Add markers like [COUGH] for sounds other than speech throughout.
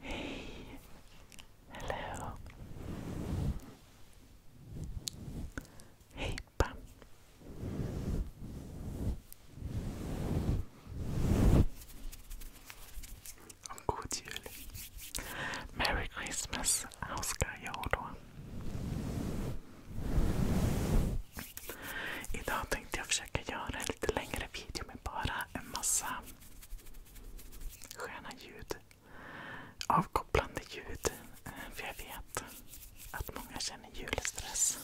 Hey. Hello. Hej Pam och god jul. Merry Christmas önskar jag då. Idag tänkte jag försöka göra en lite längre video med bara en massa sköna ljud. Avkopplande ljud. Eh, för jag vet att många känner julstress.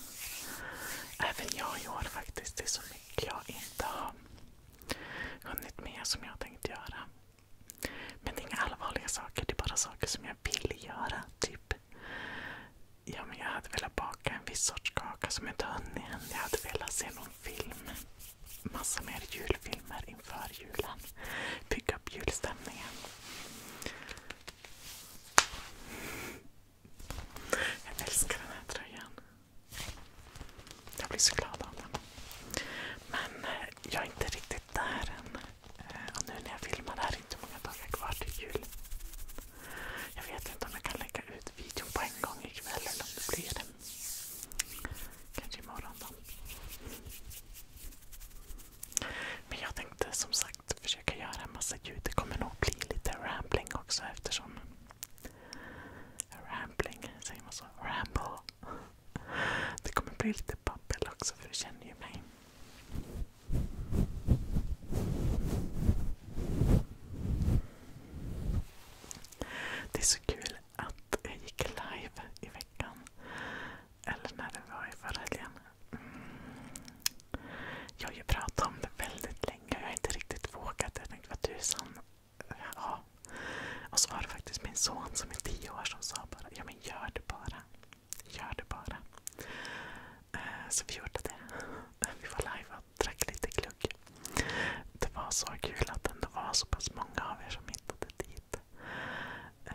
Även jag i år faktiskt. Det är så mycket jag inte har hunnit med som jag tänkte göra. Men det är inga allvarliga saker. Det är bara saker som jag vill göra. Typ. Ja, men jag hade velat baka en viss sorts kaka som jag inte hunnit än. Jag hade velat se någon film. Massa mer julfilmer inför julen. Bygga upp julstämningen. Jag älskar den här tröjan. Jag blir så glad av den. Men eh, jag är inte riktigt där än. Eh, och nu när jag filmar, det här är inte många dagar kvar till jul. Jag vet inte om jag kan lägga ut videon på en gång ikväll eller om det blir det. Kanske imorgon då. Men jag tänkte som sagt försöka göra en massa ljud. Det kommer nog bli lite rambling också eftersom... Rambling, säger man så? Ramble. Det kommer bli lite babbel också för du känner ju mig. Det är så kul att jag gick live i veckan. Eller när det var i förra helgen. Mm. Jag har ju pratat om det väldigt länge och jag har inte riktigt vågat. Jag tänkte vad tusan ja. Och så var det faktiskt min son som är tio år som sa bara, ja men gör det bara. Gör det bara. Eh, så vi gjorde det. Eh, vi var live och drack lite glögg. Det var så kul att det ändå var så pass många av er som hittade dit. Eh,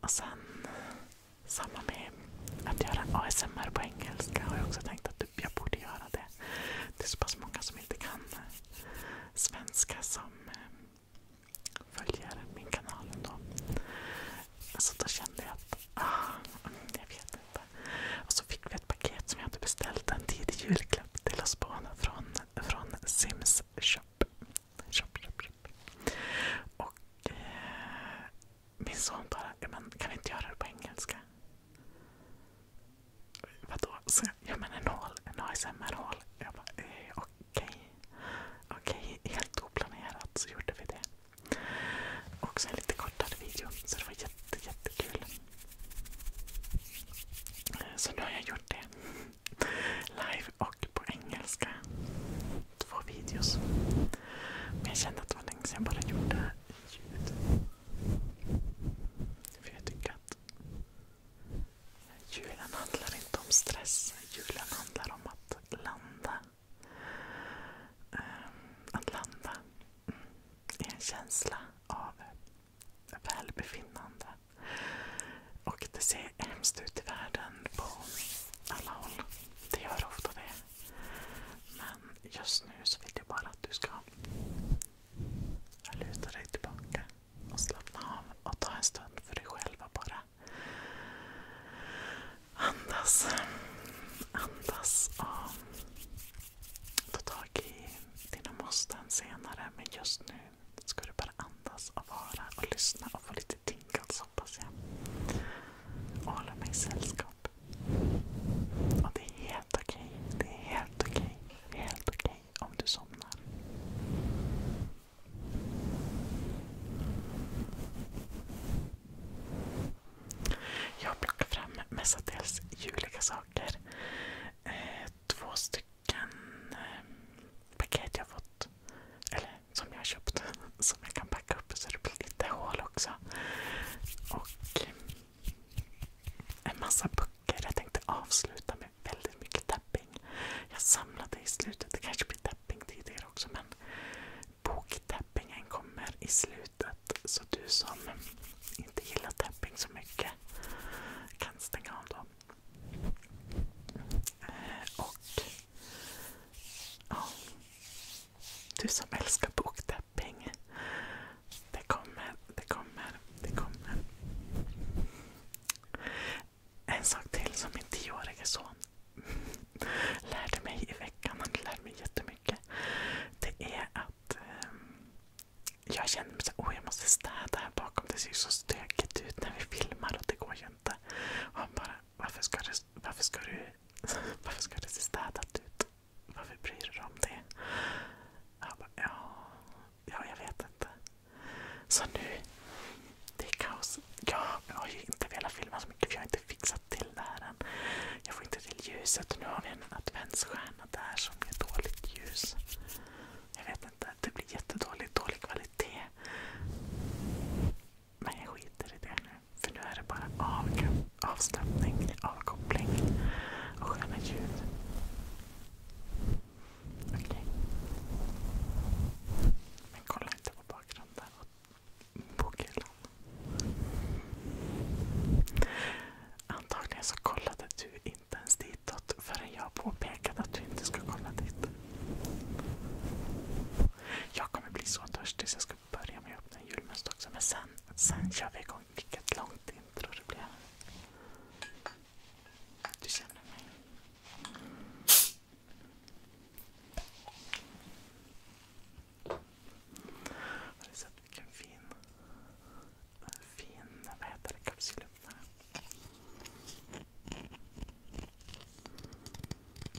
och sen samma med att göra ASMR på engelska har jag också tänkt att jag borde göra det. Det är så pass många som inte kan svenska som följare min kanal ändå. Så då kände jag att, ah, jag vet inte. så fick vi ett paket som jag hade beställt en tidig julklapp till oss båda från, Sims shop. Och eh, min son bara, kan vi inte göra det på engelska? Vadå? Så, ja men en hål. En ASMR-hål. Jag bara eh, okej. Okej, helt oplanerat så gjorde vi det. Och sen lite kortare video. Så det var jätte, jättekul. Eh, så nu har jag gjort det. Live och på engelska. Två videos. Men jag kände att det var länge sedan jag bara gjorde ljud. För jag tycker att Julen handlar inte om stress. Julen handlar om att landa. Eh, att landa i en känsla av välbefinnande. Och det ser hemskt ut i världen på alla håll. Det gör ofta det. Men just nu så vill jag bara att du ska luta dig tillbaka och slappna av och ta en stund för dig själv och bara andas. Andas och ta tag i dina måsten senare. Men just nu ska du bara andas och vara och lyssna och få lite tinkals hoppas jag. Och hålla mig sällskap. Och det är helt okej. Det är helt okej. Helt okej mig om du somnar. Jag plockar fram mestadels juliga saker. Eh, två stycken eh, paket jag fått. Eller som jag har köpt. [LAUGHS] Som jag kan packa upp så det blir lite hål också. Och en massa böcker. Jag tänkte avsluta med med väldigt mycket tapping. Jag samlade i slutet, det kanske blir tapping tidigare också men boktappingen kommer i slutet. Så du som inte gillar tapping så mycket kan stänga av då. Eh, och ja, du som älskar boktapping. Det kommer, det kommer, det kommer. En sak till som min tioårige son lärde mig i veckan. Han lärde mig jättemycket. Det är att um, jag känner mig så åh jag måste städa här bakom. Det ser ju så stökigt ut när vi filmar och det går ju inte. Och han bara, varför ska du, varför ska du, [LAUGHS] varför ska det se städat ut? Varför bryr du dig om det? Jag bara, ja, Ja, jag vet inte. Så nu, det är kaos. Jag har ju inte velat filma så mycket för jag har inte fixat till det här än. Jag får inte till ljuset. Nu har vi en adventsstjärna där som ger dåligt ljus. Jag vet inte, det blir jättedåligt. Dålig kvalitet. Men jag skiter i det nu. För nu är det bara av, avslappning, avkoppling och sköna ljud. Okej. Men kolla inte på bakgrunden och bokhyllan. Antagligen så kollade du inte ens ditåt förrän jag påpekade att du inte ska kolla dit. Jag kommer bli så törstig så jag ska börja med att öppna en julmust också. Men sen, sen kör vi igång. Vilket långt intro det blir. Du känner mig. Har du sett vilken fin, fin vad heter det, kapsylöppnare?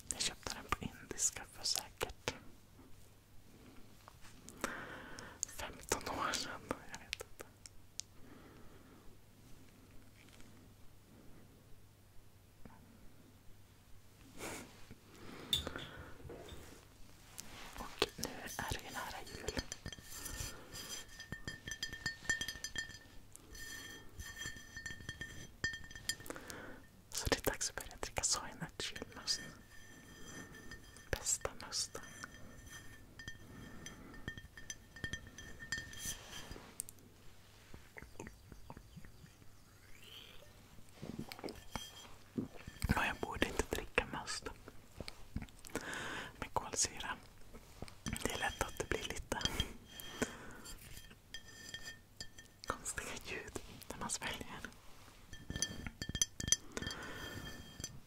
Jag köpte den på indiska för säkert 15 år sedan. Jag vet inte. Och nu är det nära jul. Så det är dags att börja dricka soy Bästa musten. Ja, jag borde inte dricka must med kolsyra. Det är lätt att det blir lite konstiga ljud när man sväljer.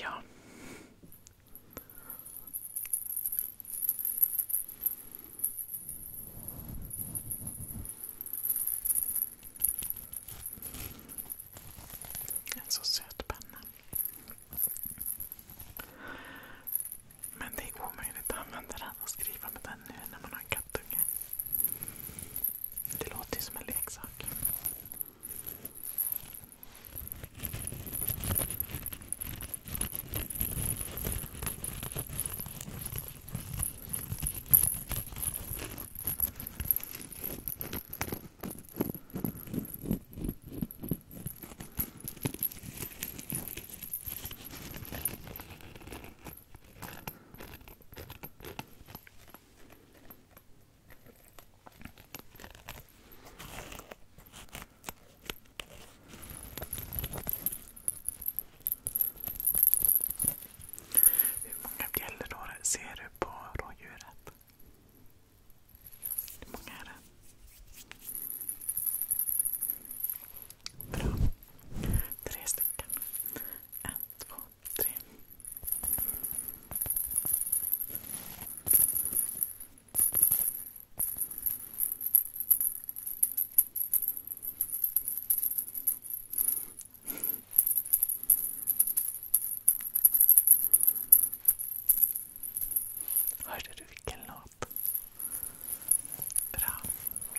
Ja. En så söt penna. Men det är omöjligt att använda den och skriva med den nu när man har en kattunge. Det låter ju som en leksak. Hur många bjällror ser du på rådjuret? Hur många är det? Bra. Tre stycken. En, två, tre. Hörde du vilken låt? Bra.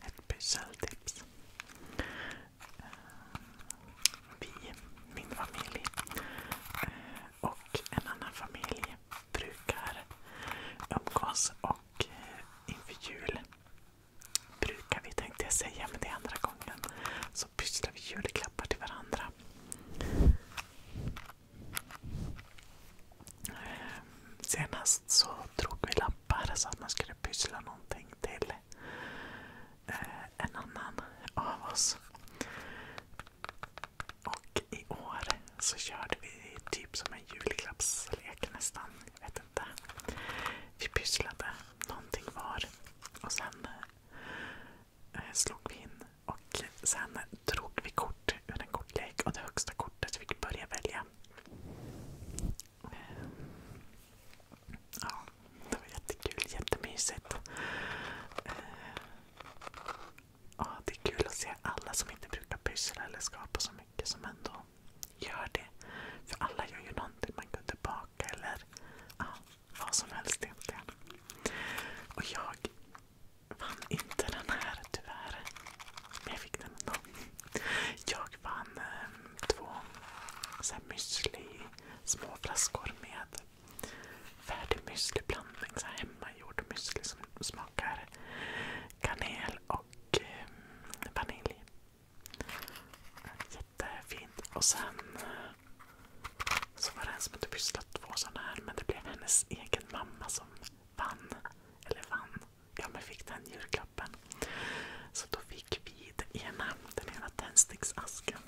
Ett specialtips. Eh, vi, min familj eh, och en annan familj brukar umgås och eh, inför jul brukar vi tänkte jag säga, men det är andra gången. Så pysslar vi julklappar till varandra. Eh, senast så drog vi lappar så att man skulle pyssla någonting till eh, en annan av oss. Och i år så körde vi typ som en julklappslek nästan. Jag vet inte. Vi pysslade någonting var. Och sen eh, slog vi in och sen drog vi kort ur en kortlek och det högsta kortet fick börja välja. ja, det var jättekul, jättemysigt. Eh, det är kul att se alla som inte brukar pyssla eller skapa så mycket som ändå Gör det. För alla gör ju någonting. Man går tillbaka eller ja, vad som helst egentligen. Och jag vann inte den här tyvärr. Men jag fick den ändå. Jag vann eh, två så här müsli, små flaskor med färdig müsliblandning. Så här hemmagjord müsli som smakar kanel och eh, vanilj. Jättefint. Och sen så var det en som hade pysslat två sådana här men det blev hennes egen mamma som vann. Eller vann. Ja men fick den julklappen. Så då fick vi den ena, den ena tändsticksasken.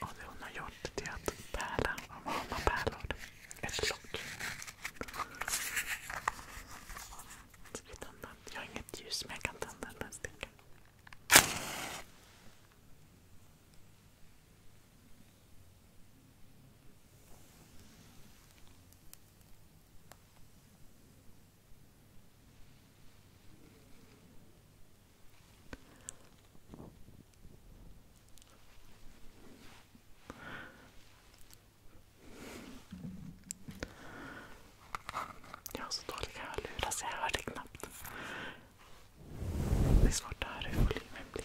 Och det hon har gjort det är att pärla av mamma pärlor. Ett lock. Jag har inget ljus men jag kan tända den här stickan. Jag har så dåliga hörlurar så jag hör det knappt. Det är svårt att höra hur volymen blir.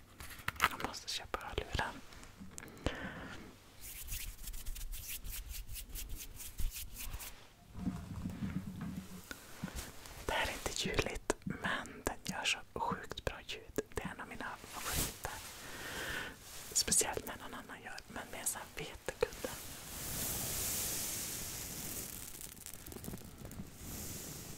Jag måste köpa hörlurar. Det här är inte ljudligt, men den gör så sjukt bra ljud. Det är en av mina favoriter. Speciellt när någon annan gör, men med sån här vetekudde.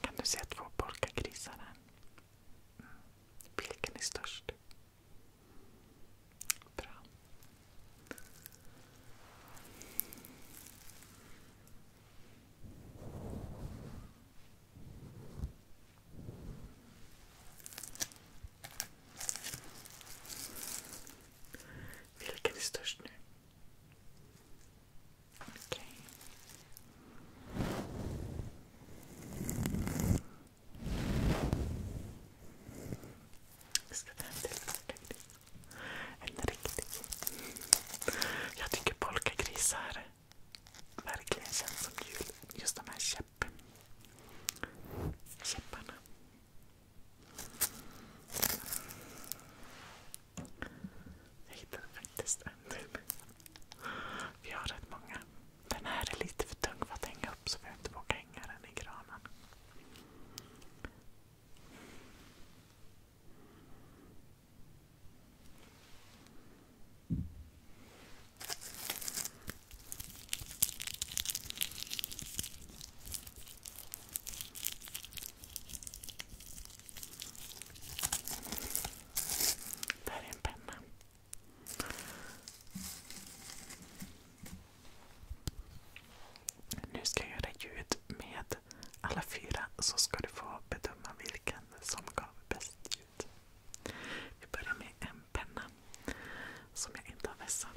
Kan du se två polkagrisar här? Mm. Vilken är störst? Bra. Vilken är störst nu? Okej. Okay. Jag ska ta en till. En riktig. Jag tycker polkagrisar verkligen känns som jul. Just de här käpp, käpparna. Jag hittade faktiskt en till. Vi har rätt många. Den här är lite för tung för att hänga upp så vi har inte vågat hänga den i granen. Där är en penna. Nu ska jag göra ljud med alla fyra så ska du få bedöma vilken som gav bäst ljud. Vi börjar med en penna som jag inte har vässat.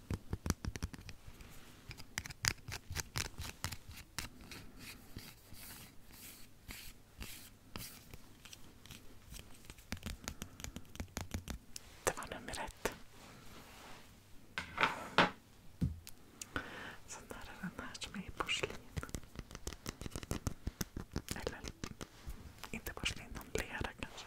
Det var nummer ett. Sen är det den här som är i porslin. Eller inte porslin, någon lera kanske.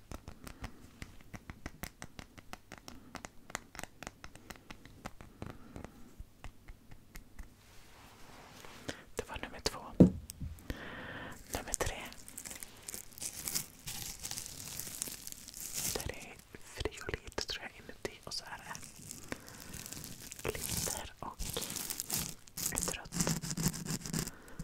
Det var nummer två. Nummer tre. Där är friolit tror jag inuti och så är det glitter och ett rött band.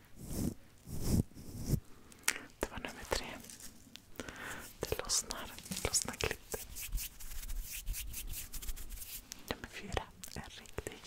Det var nummer tre. Det lossnar. Det lossnar klipp. Nummer fyra. En riktig.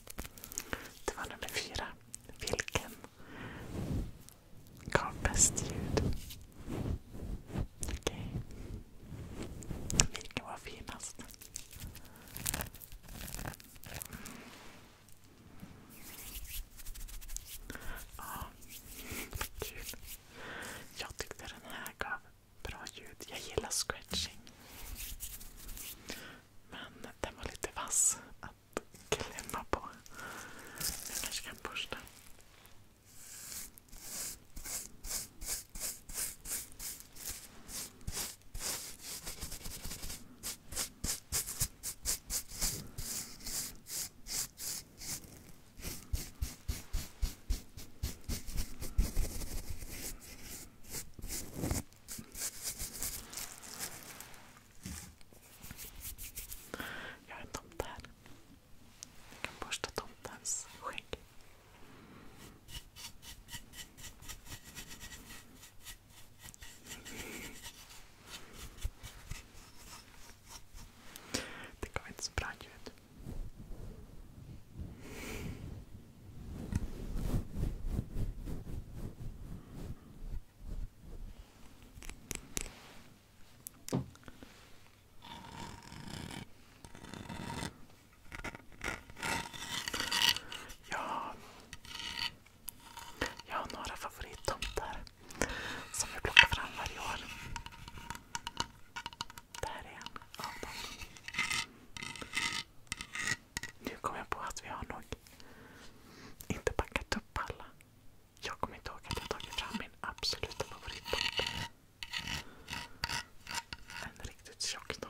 Det var nummer fyra. Vilken gav bäst ljud? Okej. Okay. Vilken var finast? Ja, kul. Jag tyckte den här gav bra ljud. Jag gillar scratching. Men den var lite vass att klämma på. Jag kanske kan borsta. Jag har en tomte här. Jag kan borsta tomtens skägg. Det gav inte så bra ljud. Ja, jag har några favorittomtar som jag plockar fram varje år. Det här är en av dem. Nu kom jag på att vi har nog inte packat upp alla. Jag kommer inte ihåg att jag tagit fram min absoluta favorittomte. En riktigt tjock tomte.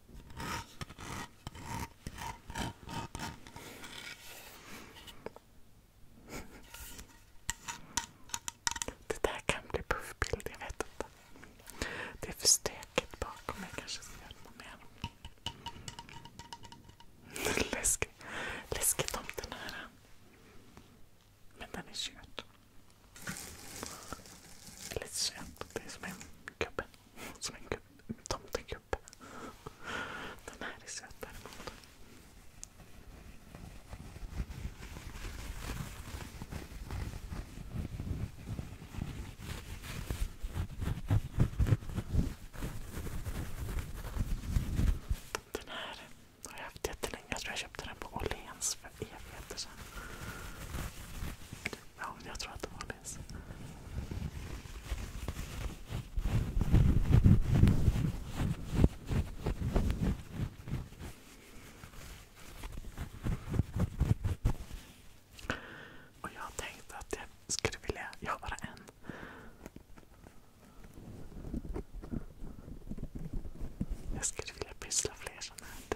Det där kan bli puffbild, jag vet inte. Det är för stökigt bakom. Jag kanske ska göra något mer. Läskigt, läskigt om den här. Men den är körd lite söt. Det är som en gubbe. Som en tomtegubbe. Den här är söt däremot. Den här har jag haft jättelänge. Jag tror jag köpte den på Åhléns för evigheter sedan jag tror att de var less. Och jag tänkte att jag skulle vilja göra bara en. Jag skulle vilja pyssla fler sådana här.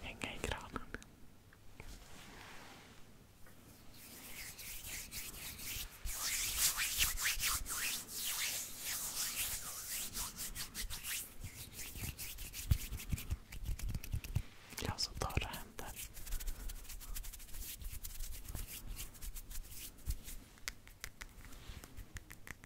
Hänga i granen. Jag har så torra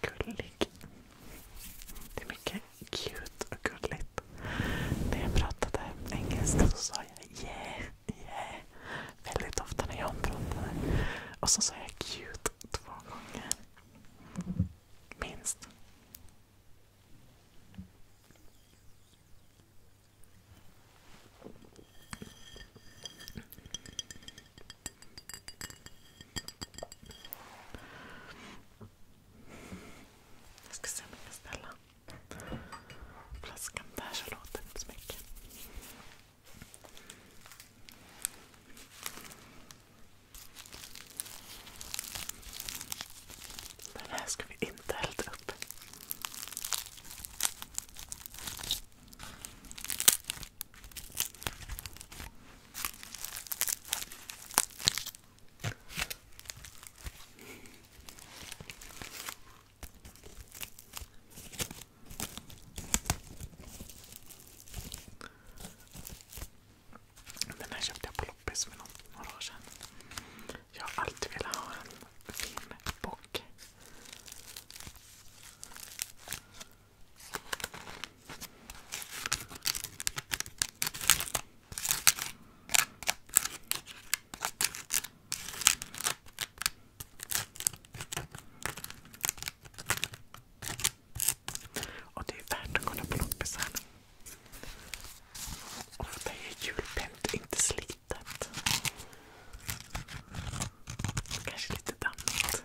Gullig. Det är mycket cute och gulligt. När jag pratade engelska så sa jag yeah, yeah väldigt ofta när jag pratade. Och så sa jag cute två gånger. Minst. Jag ska se om jag kan ställa flaskan där så låter det inte så mycket. Den här ska vi inte elda upp. Den här köpte jag på loppis för några år sedan. Jag har alltid velat ha en fin bock. Och det är värt att kolla på loppisar. Ofta är julpänt inte slitet. Kanske lite dammigt.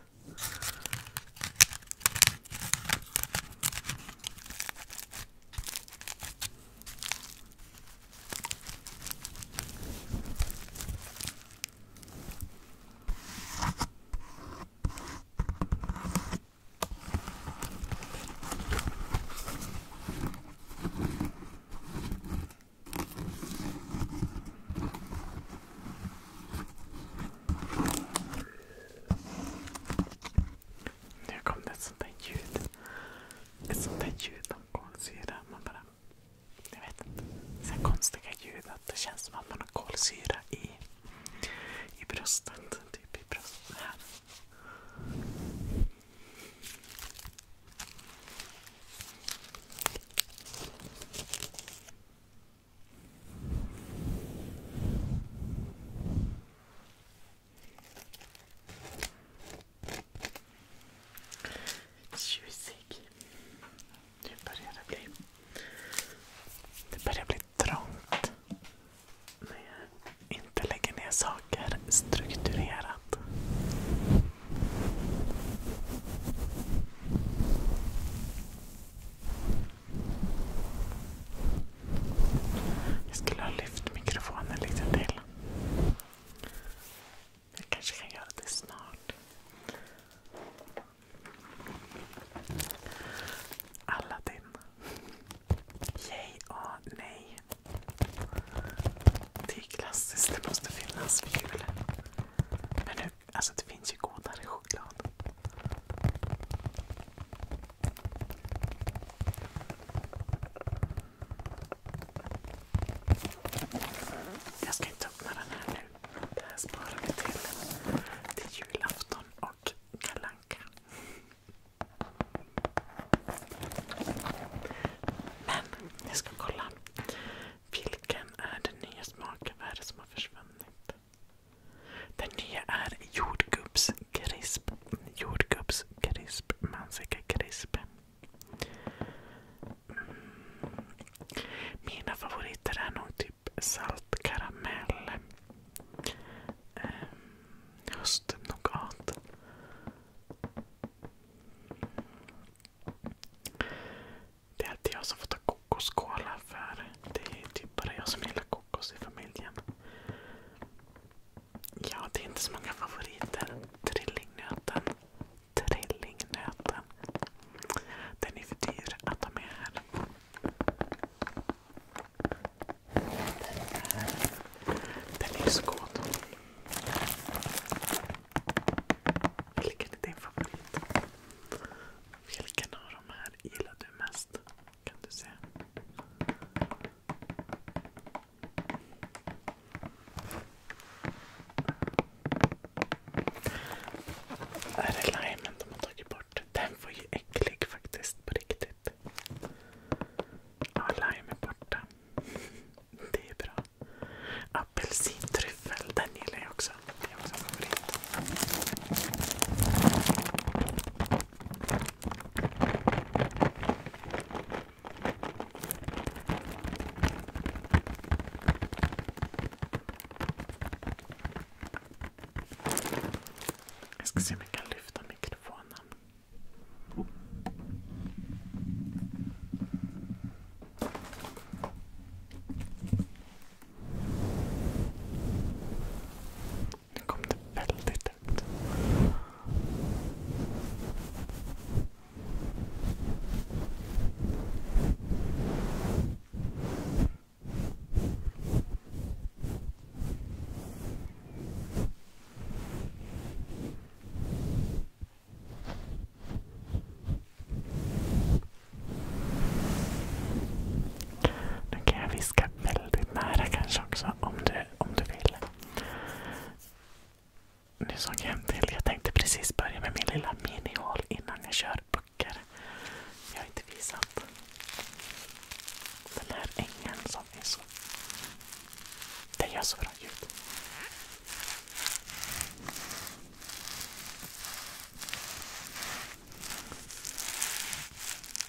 Nu kom det ett sånt där ljud. Ett sånt där ljud av kolsyra. Man bara... Jag vet inte. Så konstiga ljud. Att det känns som att man har kolsyra i, i bröstet. Typ i bröstet här. Tjusig. Nu börjar det bli... Det börjar bli trångt. När jag inte lägger ner saker strukturerat. Jag skulle ha lyft mikrofonen lite till. Jag kanske kan göra det snart. Aladdin. Yay och nej. Det är klassiskt, det måste finnas för jul. Men nu, alltså det finns ju godare choklad. Jag ska inte öppna den här nu. Det här sparar vi till, till julafton och kalanka. Men jag ska kolla. Vilken är den nya smaken? Vad är det som har försvunnit? Den nya är jordgubbskrisp. Jordgubbskrisp. Mansikakrisp. Mm. Mina favoriter är nog typ saltkaramell. Um, ehm, Höstnougat. Det är alltid jag som får ta kokoskola för det är typ bara jag som gillar kokos i familjen. Ja, det är inte så många favoriter. Trillingnöten. Trillingnöten. Den är för dyr att ta med här. Den är så god. Vilken är din favorit? Vilken av de här gillar du mest? Kan du säga? Är det limen de har tagit bort? Den var ju äcklig faktiskt på riktigt lime är borta. Det är bra. Apelsintryffel, den gillar jag också. Det är också en favorit. Jag ska se om jag kan lyfta mikrofonen. Nu kom det väldigt högt. Nu kan jag viska väldigt nära kanske också om du, vill. Nu såg jag en till. Jag tänkte precis börja med min lilla minihål innan jag kör böcker. Jag har inte visat. Den här ängen det är så. Det gör så bra ljud.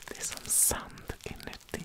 Det är som sand inuti.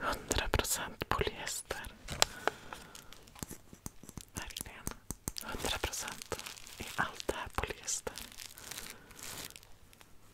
Hundra procent polyester. Verkligen. Hundra procent i allt det här polyester.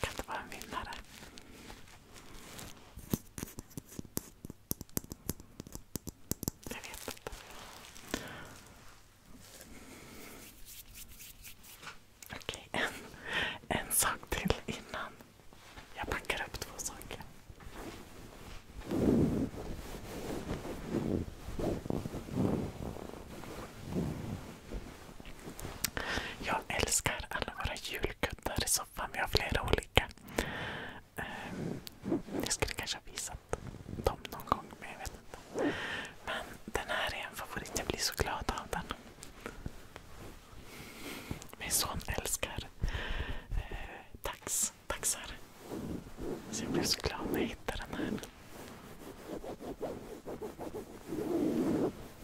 Kan det vara en vinnare? Jag vet inte. Okej, en, sak till innan. Jag packar upp två saker. Jag älskar alla våra julkuddar i soffan. Vi har flera olika. Ehm, jag skulle kanske ha visat dem någon gång, men jag vet inte. Men den här är en favorit. Jag blir så glad av den. Min son älskar eh, tax, taxar. Så jag blev så glad när jag hittade den här.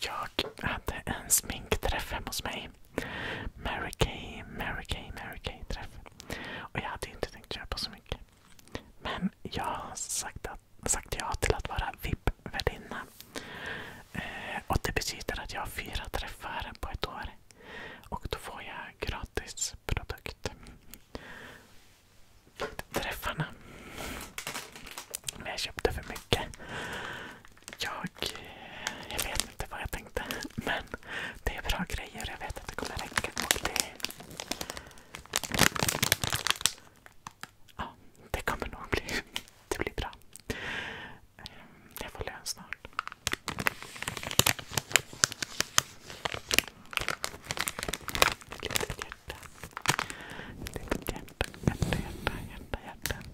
Jag hade en sminkträff hemma hos mig. Mary Kay, Mary Kay, Mary Kay-träff. Och jag hade inte tänkt köpa så mycket. Men jag har sagt, sagt ja till att vara VIP-värdinna. Eh, och Det betyder att jag har fyra träffar på ett år. Och då får jag gratis produkt. Träffarna. Men jag köpte för mycket. Jag, eh, jag vet inte vad jag tänkte. Men det är bra grejer. Jag vet att det kommer räcka. Och det, Ja, det kommer nog bli, det blir bra. Jag får lön snart. Ett litet hjärta. Ett litet hjärta, hjärta, hjärta, hjärta, hjärta.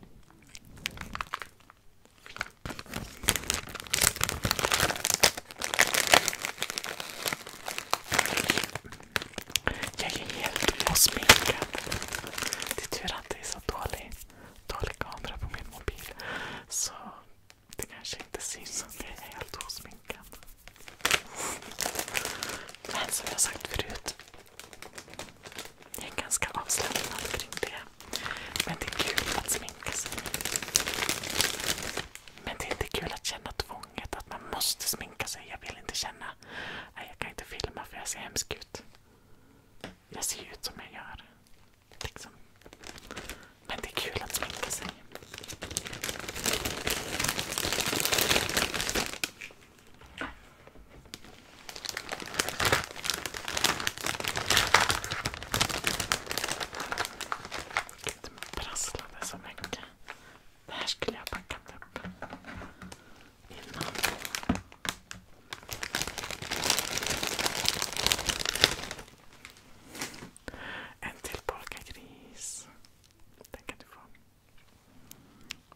Jag är helt osminkad. Det är tur att det är så dålig kamera på min mobil. Så det kanske inte syns att jag är helt osminkad. Men som jag sagt förut. Jag är ganska avslappnad kring det. Men det är kul att sminka sig. Men det är inte kul att känna tvånget att man måste sminka sig. Jag vill inte känna Nej, jag kan inte filma för jag ser hemsk ut. Jag ser ut som jag gör. Liksom. Men det är kul att sminka sig. Gud, de prasslade så mycket. Det här skulle jag packat upp innan. En till polkagris. Den kan du få.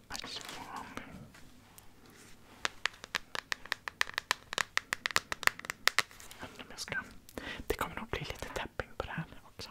Tack så mycket. Jag undrar om jag ska... Det kommer nog bli lite tapping på det här också.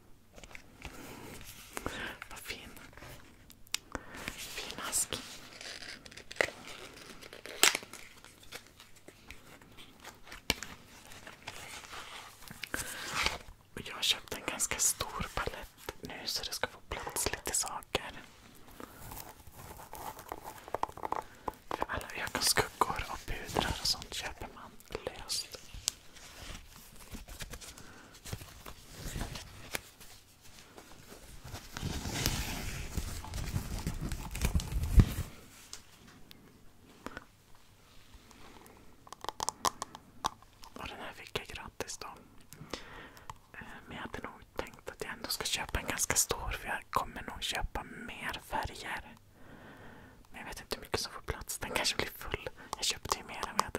Vad fin. Fin mask. jag har köpt en ganska stor palett nu så det ska få plats lite saker. alla ögonskuggor och pudrar och sånt köper man läst. Och den här fick jag gratis då. Eh, men jag hade nog tänkt att jag ändå ska köpa en ganska stor för jag kommer nog köpa mer färger. I jag vet inte hur mycket som får plats. Den kanske blir full. Jag köpte ju mer än vad jag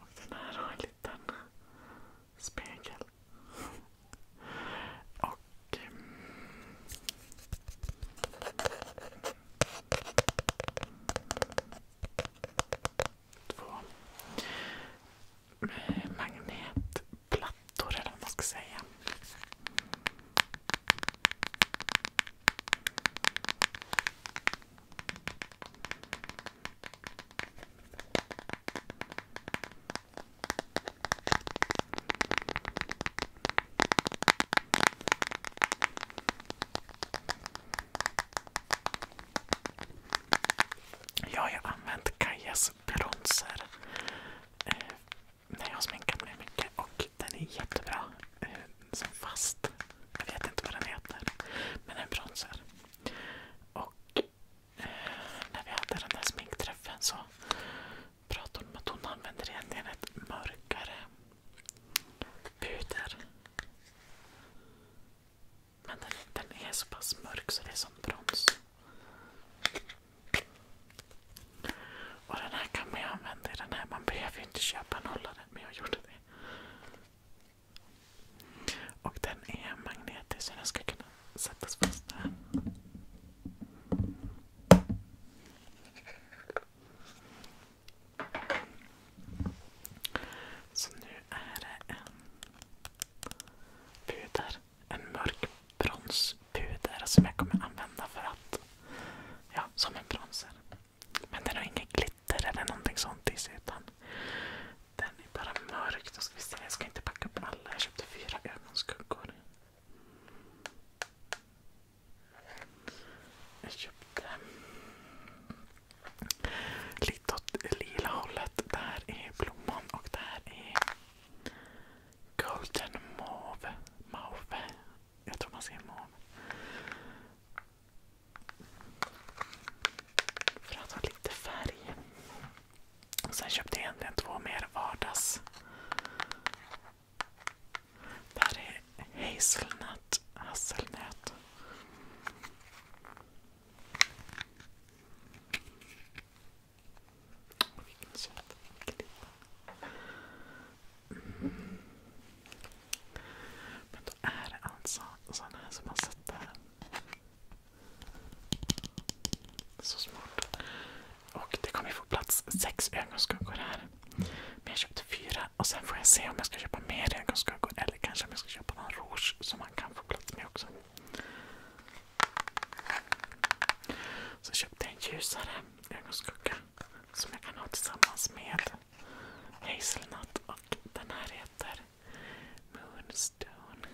Och den här har en liten spegel. Och... Ehm, två magnetplattor eller vad man ska säga. Jag har ju använt Kajas bronzer eh, när jag har sminkat mig mycket och den är jättebra. Eh, som fast. Jag vet inte vad den heter. Men en bronzer. Och eh, när vi hade den där sminkträffen så pratade hon om att hon använder egentligen ett mörkare puder. Men den, den är så pass mörk så det är som brons. Och den här kan man ju använda i den här. Man behöver ju inte köpa en hållare, men jag gjorde det. Och den är magnetisk så den ska kunna sättas fast där. Så nu är det en puder. En mörk bronspuder som jag kommer använda för att, ja, som en bronser. Men den har inget glitter eller någonting sånt i sig. Utan den är bara mörk. Då ska vi se. Jag ska inte packa upp alla. Jag köpte fyra ögonskuggor. Jag köpte lite åt lila hållet. Det här är blomman och det här är golden mauve. mauve. Jag tror man ser mauve. För att ha lite färg. sen köpte jag egentligen två mer vardags. Det här är hazelnut, hasselnöt. Vilken söt. Mm. Men då är det alltså sådana här som man sätter. Så smart. Och det kommer få plats sex ögonskuggor här. Men jag köpte fyra och sen får jag se om jag ska köpa mer ögonskuggor eller kanske om jag ska köpa någon rouge som man kan få plats med också. Så köpte jag en ljusare ögonskugga som jag kan ha tillsammans med Hazelnut och den här heter Moonstone.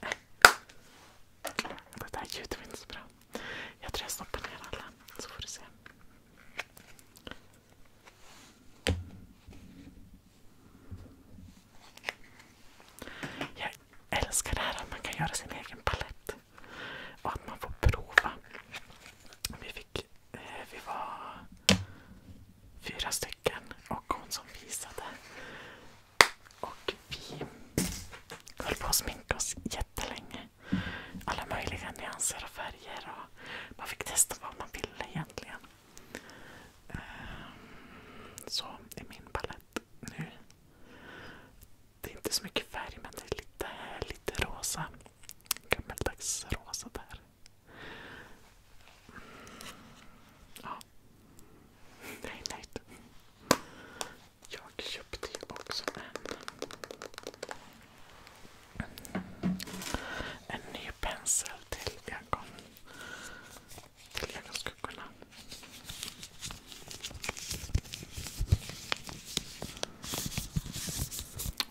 Äh. Det där ljudet var inte så bra. Jag tror jag stoppar ner alla så får du se. Jag älskar det här att man kan göra sin egen palett. Och att man får prova. Vi, fick, eh, vi var fyra stycken och hon som visade. Och vi höll på att sminka oss jättelänge. Alla möjliga nyanser och färger. Och man fick testa vad man ville egentligen. Ehm, så är min palett nu. Det är inte så mycket färg men det är lite, lite rosa. Gammeldags rosa där. Ja. Nej, nej. Jag köpte ju också en, en ny pensel till ögon. Till ögonskuggan.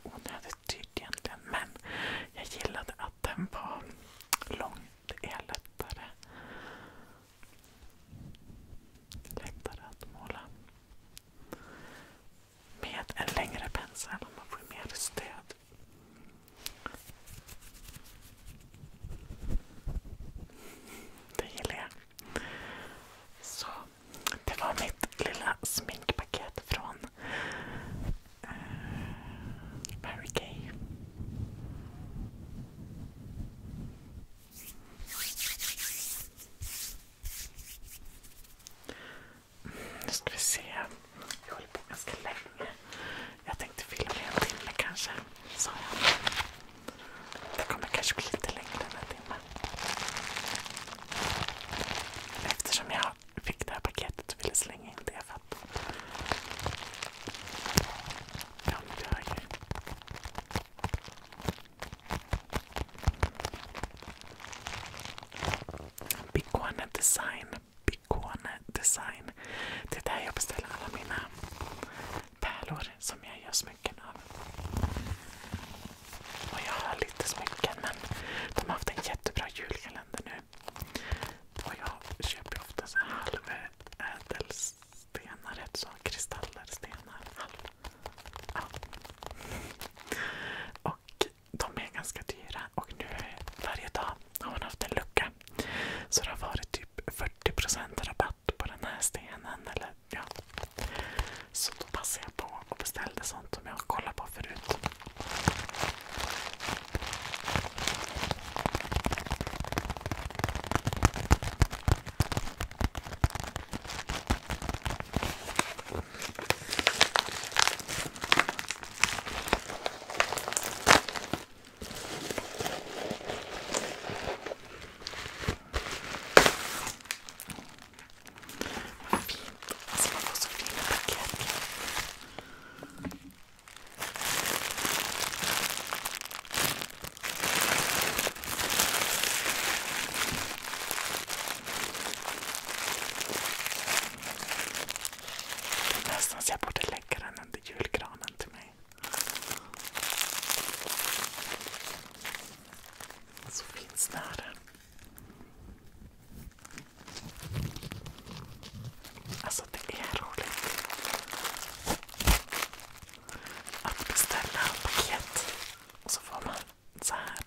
Onödigt dyrt egentligen, men jag gillade att den var lång. Det är lättare, lättare att måla med en längre pensel man får mer stöd. Det gillar jag. Så det var mitt lilla sminkpaket från uh, Mary Kay. Mm, nu ska vi se. Jag håller på ganska länge. Jag tänkte filma en timme kanske. Sa jag. Det kommer kanske bli lite längre den här timmen. Eftersom jag fick det här paketet och ville slänga in det för att... Ja, men det har jag ju. Bicone Design. Bicone Design. Det är där jag beställer alla mina pärlor som jag gör smycken av. Och jag har lite smycken men de har haft en jättebra julkalender nu. Och jag köper ofta så halvädelstenar, så kristaller, Halv. Ja. Och de är ganska dyra och nu varje dag har man haft en lucka. Så det har varit typ 40% rabatt satt på den här stenen. Eller, ja. Så då passade jag på och beställde sånt som jag kollat på förut. Vad fint. Alltså man får så fina paket. Det är nästan så jag borde lägga den under julgranen till mig. Så alltså, finns där. Alltså det är roligt att beställa paket och så får man så här.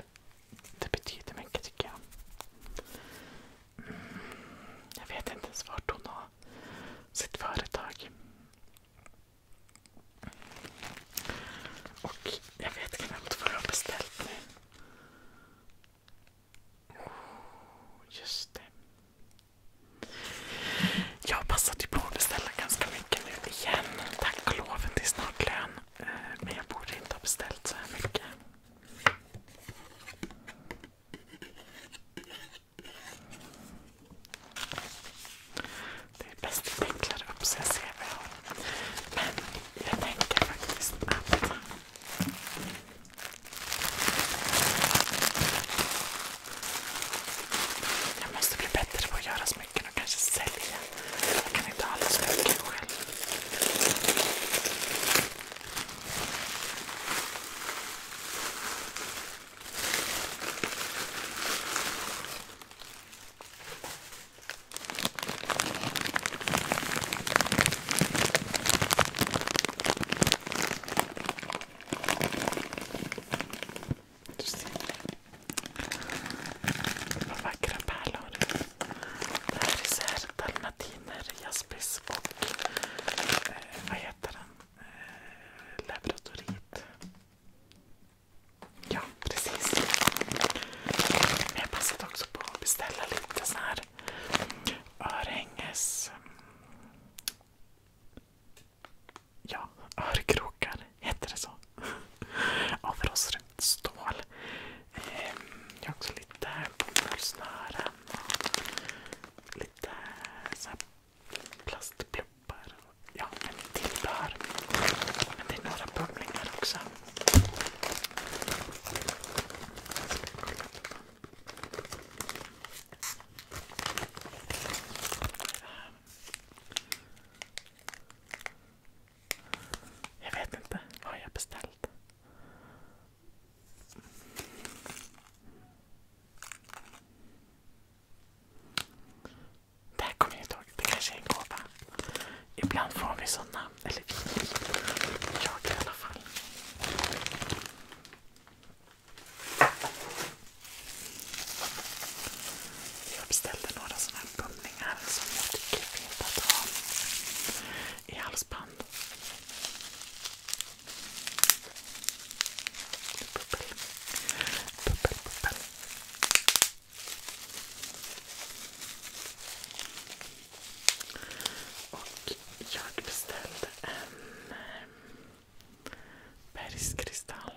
Det betyder mycket tycker jag. Mm, jag vet inte ens vart hon har sitt företag. Och jag vet knappt vad jag har beställt nu. Oh, just det. Jag passade ju på att beställa ganska mycket nu igen. Tack och lov, det är snart lön. Eh, men jag borde inte ha beställt så här mycket. Det är bäst att vinklar upp så jag ser vad jag har. Men jag tänker faktiskt att... Jag måste bli bättre på att göra smycken och kanske sälja. Jag kan inte ha alla smycken själv. Just det. Vad vackra pärlor. Det här är så här dalmatiner, jaspis och eh, vad heter den? Eh, laboratorit. Ja, precis. Men jag passade också på att beställa lite sån här örhänges... Ja, örkrokar. Heter det så? Av rostfritt stål. Ehm, jag har också lite bomullsnören och lite så här plastblommor lappar. Ja, men tillbehör. Men det är några bubblingar också. Jag vet inte. Vad har jag beställt? Det här kommer jag inte ihåg. Det kanske är en gåva. Ibland får vi sådana. Eller vi. Jag i alla fall. Jag beställde några sådana här bumlingar som jag tycker är fint att ha i halsband. Bubbel, bubbel, bubbel. Och jag beställde en bergskristall.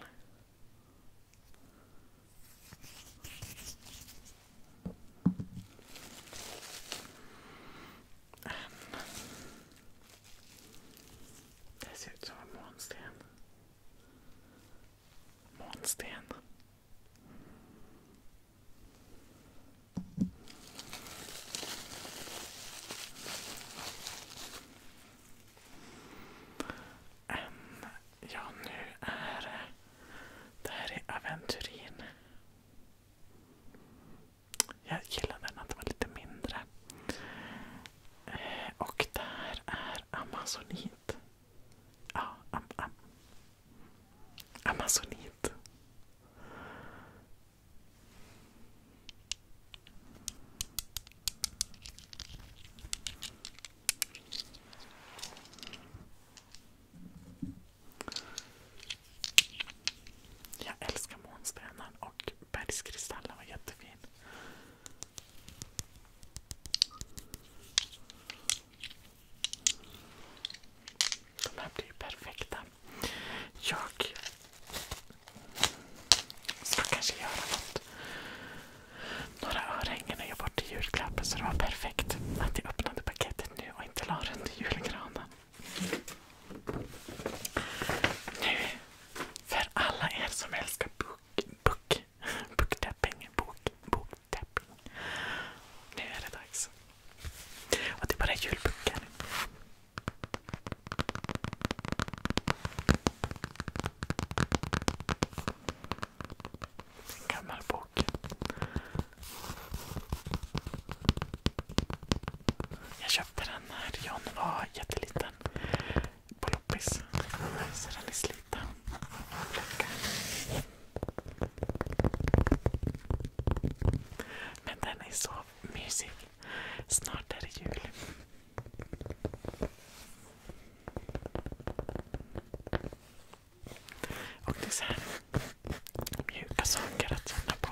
En. Det ser ut som en månsten. Månsten. Um, ja, nu är det här är Aventurin. Jag gillar den att den var lite mindre. Eh, och där är Amazonit. Ah, Amazonit. Jag älskar månspännen och bergskristallen var jättefin. De här blir ju perfekta. Jag ska kanske göra något. Några örhängen och jag bort till julklappen så det var perfekt att jag öppnade paketet nu och inte la den julgranen. Nu, för alla er som älskar bok book, book, Nu är det dags. Och det är bara julböcker. gammal bok. Jag köpte den när John var jätteliten på loppis. Så den är sliten. Men den är så mysig. Snart är det jul. Och det är så här mjuka saker att känna på.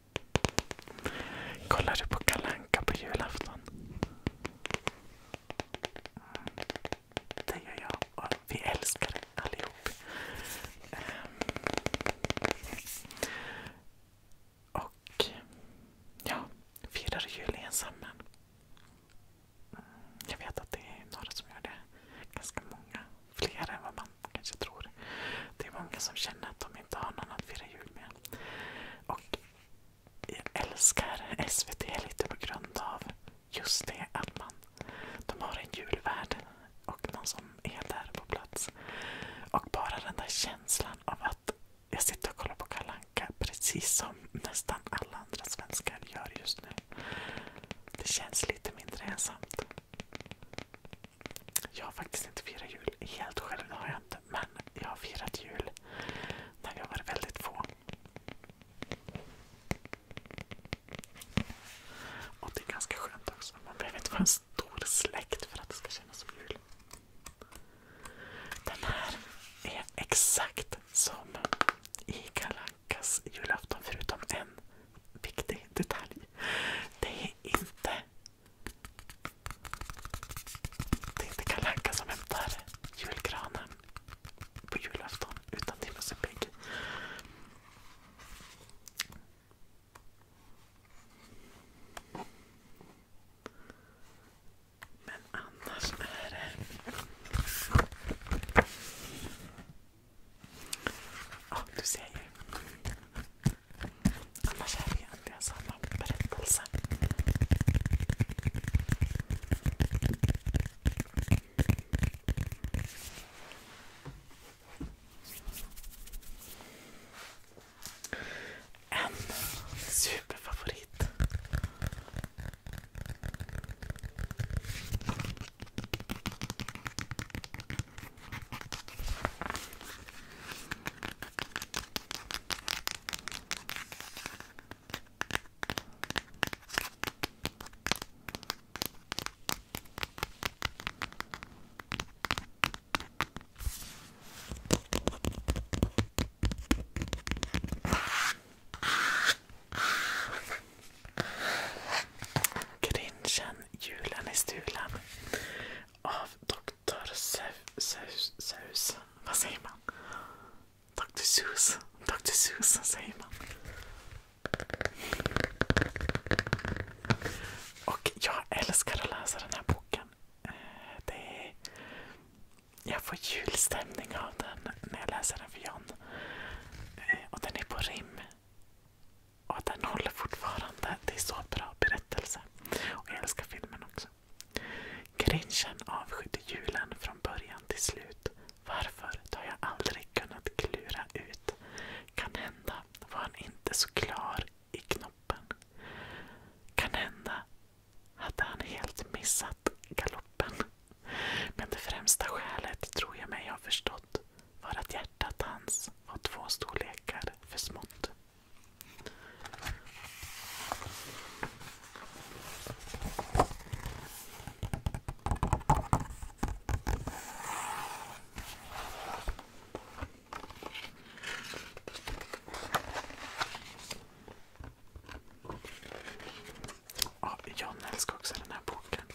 Kollar du på Kalanka på julafton? Det gör jag och vi älskar det allihop. Ehm, och ja, firar jul ensamma. Jag vet att det är några som gör det. Ganska många. Fler än vad man kanske tror. Det är många som känner att de inte har någon att fira jul med. Och jag älskar SVT lite på grund av just det att man, de har en julvärd och någon som är där på plats. Och bara den där känslan av att jag sitter och kollar på Kalanka precis som nästan alla andra svenskar gör just nu. Det känns lite mindre ensamt. Jag har faktiskt inte firat jul helt själv, det har jag inte. Men jag har firat jul när jag har varit väldigt få. Och det är ganska skönt också. Man behöver inte vara en stor släkt för att det ska kännas som jul. Den här är exakt som i Kalankas julafton förutom en viktig detalj. Det är inte det är inte Kalle Anka som hämtar julgranen på julafton utan Timothy Pigg. Men annars är det... Ja, du ser ju. Annars är det egentligen samma berättelse. En superfavorit. Grinchen, julen är stulen. av Dr. Dr. Susan. Vad säger man? Dr. Susan. Dr. Susan säger man. Och jag älskar att läsa den här boken. Eh, det är, jag får julstämning av den när jag läser den för John. Eh, och den är på rim. Och den håller fortfarande. Det är så bra berättelse. Och jag älskar filmen också. Grinchen avskydde julen från början till slut. Varför Det har jag aldrig kunnat klura ut. Kan hända var han inte så klar i knoppen. Kan hända hade han helt missat galoppen. Men det främsta skälet tror jag mig ha förstått var att hjärtat hans var två storlekar för smått. Ja, John älskar också den här boken.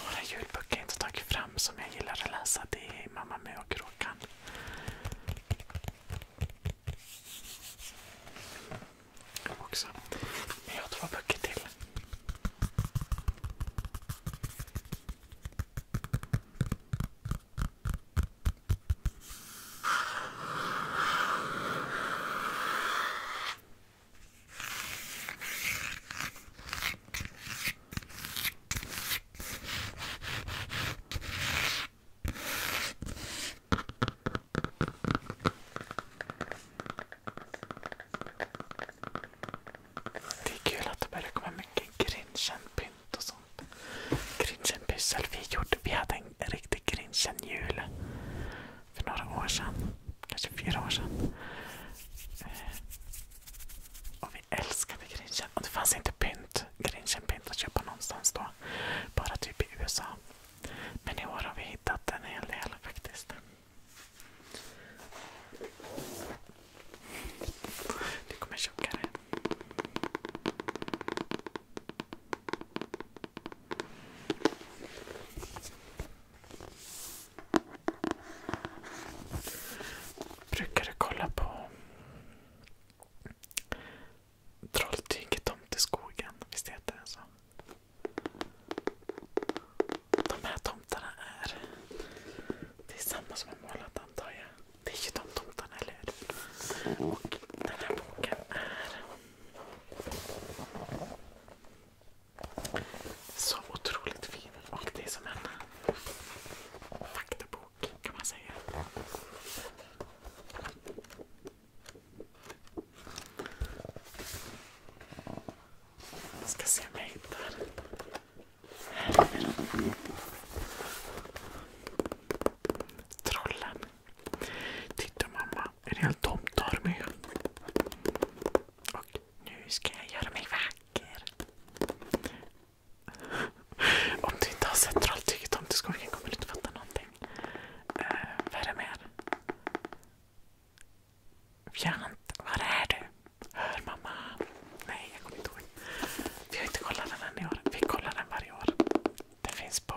Några julböcker jag inte tagit fram som jag gillar att läsa det är Mamma Mu och Kråkan. Också. Men jag har två böcker till. Det är kul att det börjar komma mycket Grinchen-pynt och sånt. Grinchen-pyssel. Vi, gjorde, vi hade en riktig Grinchen-jul för några år sedan. Kanske fyra år sedan. Eh, och vi älskade Grinchen. Och det fanns inte pynt, Grinchen-pynt att köpa någonstans då. Bara typ i USA. Men i år har vi hittat en hel del faktiskt. Det kommer tjockare. Brukade kolla på Trolltyget om till skogen. Visst heter den så? De här tomtarna är... Det är samma som har målat antar jag. Det är ju de tomtarna, eller hur? Och den här boken är... Så otroligt fin. Och det är som en faktabok kan man säga. ska se om jag hittar. Här är den. Trollen. Titta mamma, en hel tomtarmé. Och nu ska jag göra mig vacker. [LAUGHS] Om du inte har sett Trolltyget om till skogen kommer du inte fatta någonting. Uh, vad är det mer? Fjant, var är du? Hör mamma? Nej, jag kommer inte ihåg. Vi har inte kollat den än i år. Vi kollar den varje år. Den finns på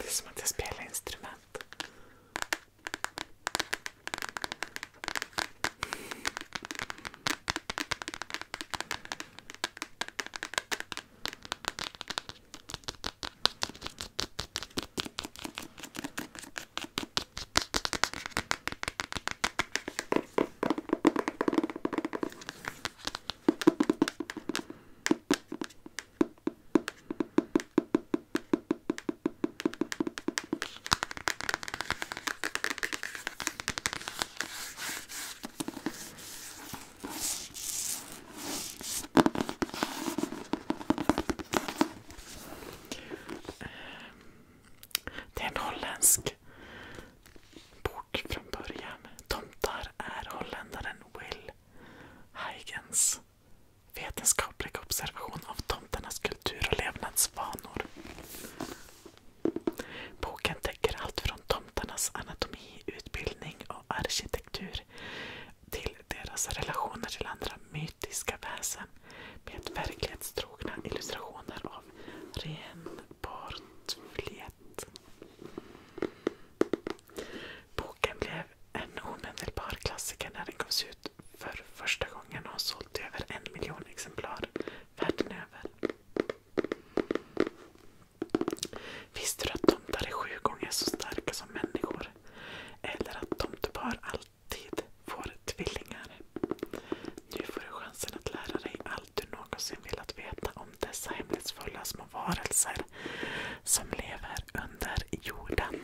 Det är som att jag spelar instrument. Det är en holländsk bok från början. Tomtar är holländaren Will till Huygens vetenskapliga observation av tomternas kultur och levnadsvanor. Boken täcker allt från tomternas anatomi, utbildning och arkitektur till deras relationer till andra mytiska väsen med verklighetstrogna illustrationer av ren portflet. Boken blev en omedelbar klassiker när den gavs ut för första gången och har sålt över en miljon exemplar världen över. Visste du att tomtar är sju gånger så starka som människor? Eller att tomtepar alltid får tvillingar? Nu får du chansen att lära dig allt du någonsin velat veta om dessa hemlighetsfulla små varelser som lever under jorden.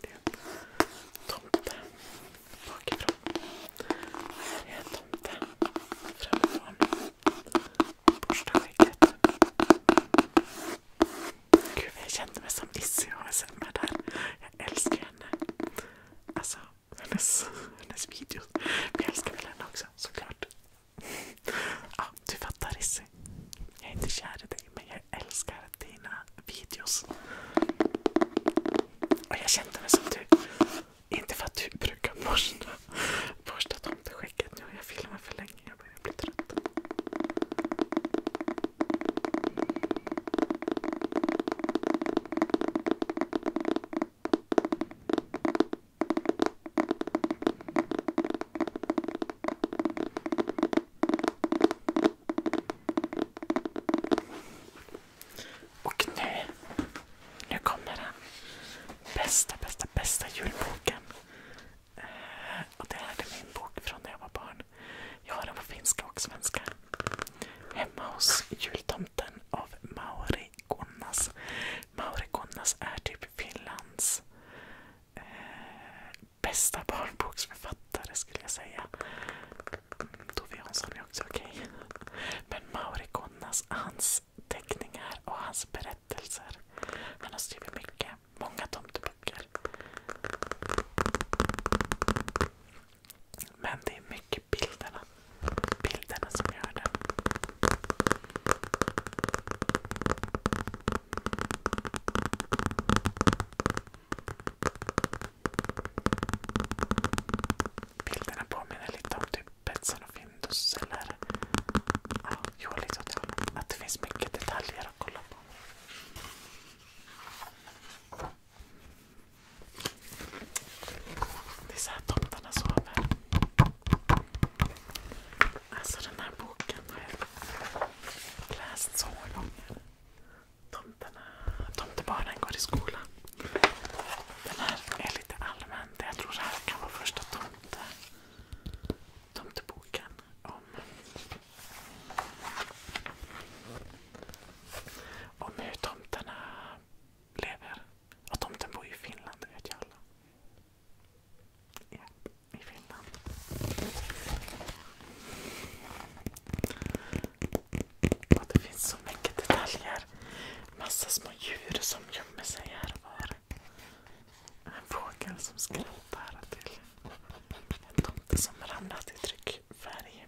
Det är en tomte bakifrån. Det är en tomte framifrån. Borsta skägget. Gud, jag kände mig som Lizzie ASMR där. Jag älskar henne. Alltså, hennes, hennes videos. Men jag älskar väl henne också såklart. Ja, du fattar Lizzie. Jag är inte kär i dig, men jag älskar dina videos. Och jag kände mig som du. Inte för att du brukar borsta, borsta tomten vecket nu. Jag filmar för länge. Jag börjar bli trött. Och nu, nu kommer den bästa, bästa, bästa julboken och det här är min bok från när jag var barn. Jag har den på finska och svenska. Hemma hos jultomten av Mauri Gunnas. Mauri Gunnas är typ Finlands eh, bästa barnboksförfattare skulle jag säga. Tove Jansson är också okej. Okay. Men Mauri Gunnas, hans teckningar och hans berättelser berättelser. Han har skrivit mycket. Många tomteböcker. Men det är mycket bilderna. Bilderna som gör det. Bilderna påminner lite om typ Betsson och Findus eller ja, jo, lite åt Att det finns mycket detaljer att kolla på på. Det är så här tomtarna sover. Alltså den här boken har jag läst så många gånger. Tomterna, tomtebarnen går i skolan. Den här är lite allmän. Jag tror det här kan vara första tomte tomteboken om, om hur tomterna lever. Och tomten bor i Finland, det vet ju alla. Ja, i Finland. Och det finns så mycket detaljer. Massa små djur som gömmer sig här och var. En fågel som skrattar till en tomte som ramlat i tryckfärg.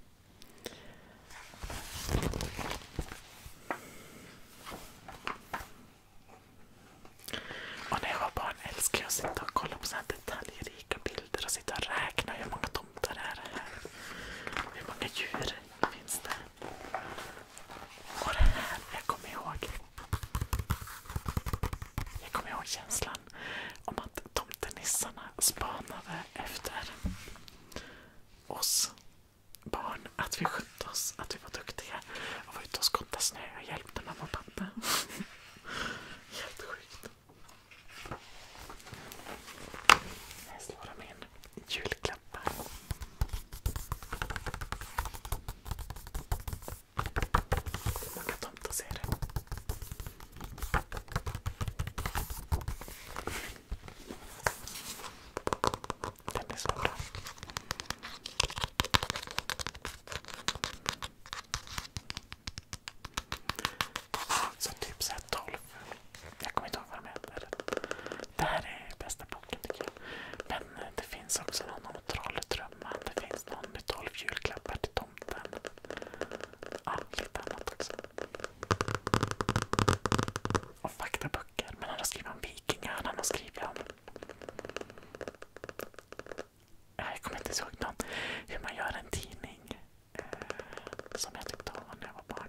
Och när jag var barn älskade jag att sitta och kolla på detaljrika bilder och sitta och räkna hur många tomtar det är här. Hur många djur finns det? Och det här, jag kommer ihåg jag kommer ihåg känslan om att tomtenissarna spanade efter oss barn. Att vi skötte oss, att vi var duktiga och var ute och skottade snö och hjälpte mamma och pappa. [LAUGHS] Helt sjukt. Här slår de in julklappar. Man kan ta och se det. Den är så bra. typ såhär 12. Jag kommer inte ihåg vad de heter. Det här är bästa boken tycker jag. Men eh, det finns också någon om troll tror femman. Det finns någon med 12 julklappar till tomten. Ja, lite annat också. Och faktaböcker. Men han har skrivit om vikingar. Han har skrivit om... Jag kommer inte ihåg någon. Hur man gör en tidning. Eh, som jag tyckte om när jag var barn.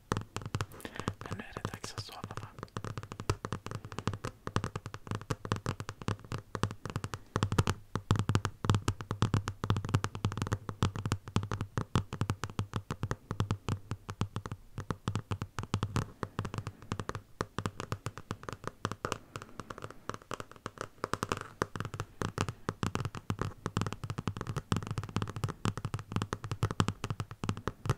Men nu är det dags att sova va? Tack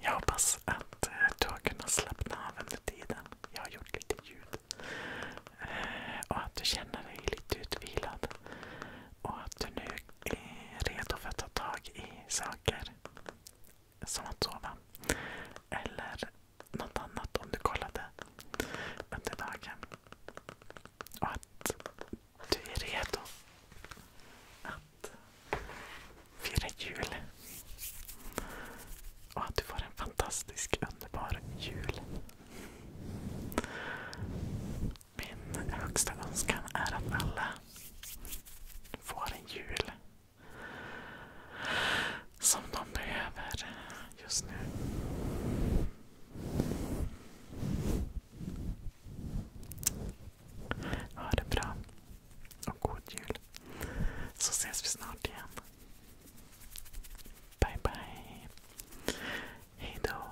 Jag hoppas att eh, du har kunnat slappna av under tiden. Jag har gjort lite ljud. Eh, och att du känner dig lite utvilad. Och att du nu är redo för att ta tag i saker. Som att sova. Eller något annat om du kollade under dagen. Och att du är redo att fira jul. Och att du får en fantastisk, underbar jul. Min högsta önskan är att alla får en jul som de behöver just nu. Ha det bra och god jul. Så ses vi snart igen. Bye bye. Hejdå.